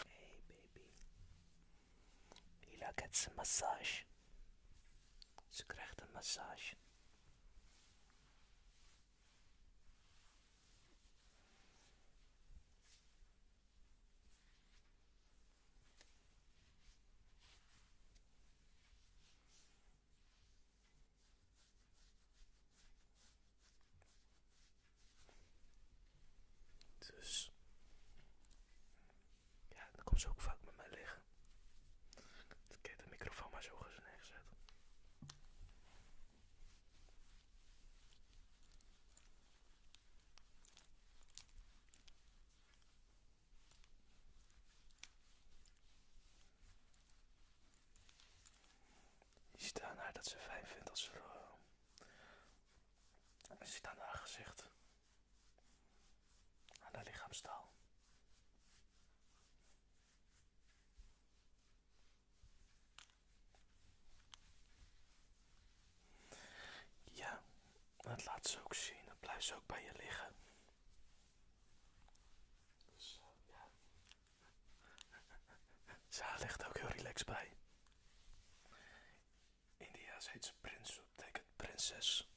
Hey baby. Hila gets een massage. Ze krijgt een massage. Dus. Ja, dan komt ze ook vaak met mij liggen. Dat ik heb de microfoon maar zo neergezet. Je ziet aan haar dat ze fijn vindt als ze eh, zit aan haar gezicht. Aan haar lichaamstaal. Ja, dat laat ze ook zien. Dat blijft ze ook bij je liggen. Dus, eh, ja. Ze ligt ook heel relaxed bij. India's heet ze prins, dat betekent prinses.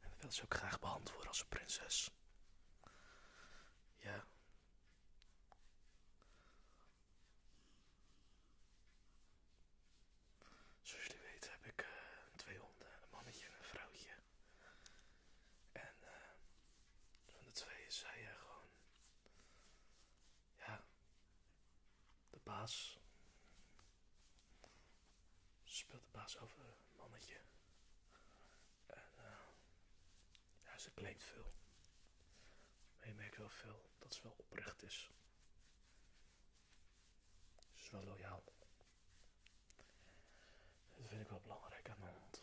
En dat wil ze ook graag behandeld worden als een prinses. Ja. Zoals jullie weten heb ik eh, twee honden, een mannetje en een vrouwtje. En eh. van de twee is hij eh, gewoon ja, de baas. Speelt de baas over een mannetje. En eh, ja, ze claimt veel. Maar je merkt wel veel dat ze wel oprecht is. Ze is wel loyaal. Dat vind ik wel belangrijk aan de hond.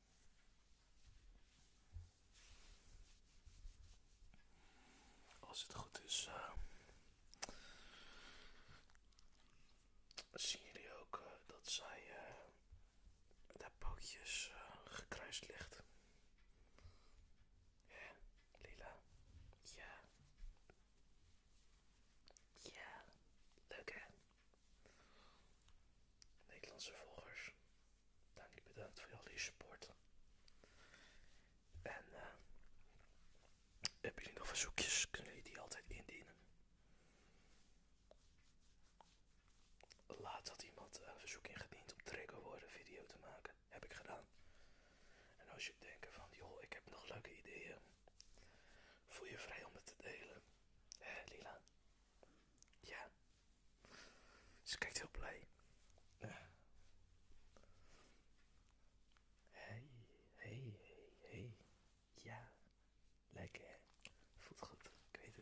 Als het goed is, zie eh, zien jullie ook eh, dat zij uh, eh, daar pootjes gekruist ligt. Ja, lila. Ja. Ja, leuk hè? Nederlandse volgers, dank bedankt voor jullie support. En eh, hebben jullie nog verzoekjes, kunnen jullie die altijd indienen. Laat had iemand een verzoek ingediend om triggerwoorden video te maken, heb ik gedaan. En als je denkt van, joh, ik heb nog leuke ideeën Voel je vrij om het te delen. Hé, Lila? Ja. Ze kijkt heel blij. Hé Hey, hey, hey, hey. Ja. Lekker Voelt goed, ik weet het.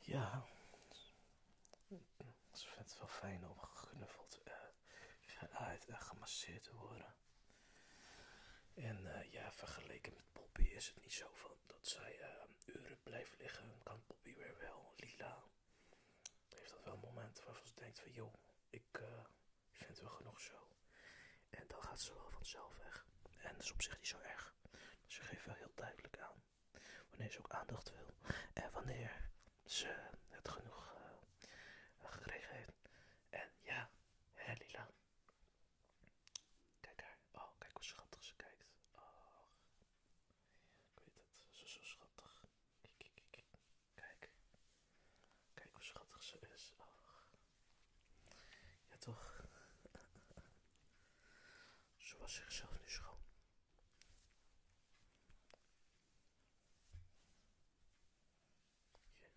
Ja, ik vind het wel fijn om geknuffeld, eh, en gemasseerd te worden. En eh, ja, vergeleken met Poppy is het niet zo van dat zij eh, uren blijft liggen. Kan Poppy weer wel. Lila heeft dat wel moment waarvan ze denkt van joh, ik vind het wel genoeg zo. En dan gaat ze wel vanzelf weg. En dat is op zich niet zo erg. Ze geeft wel heel duidelijk aan wanneer ze ook aandacht wil. En wanneer ze het genoeg eh, gekregen heeft. En ja, hè Lila. Kijk haar. Oh, kijk hoe schattig ze kijkt. Oh. Ik weet het, ze is zo schattig. Kijk, kijk, kijk. Kijk hoe schattig ze is. Oh. Ja, toch? Ze was zichzelf nu schoon. Hey.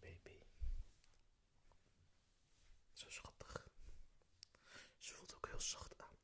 Baby. Zo schattig. Ze voelt ook heel zacht aan.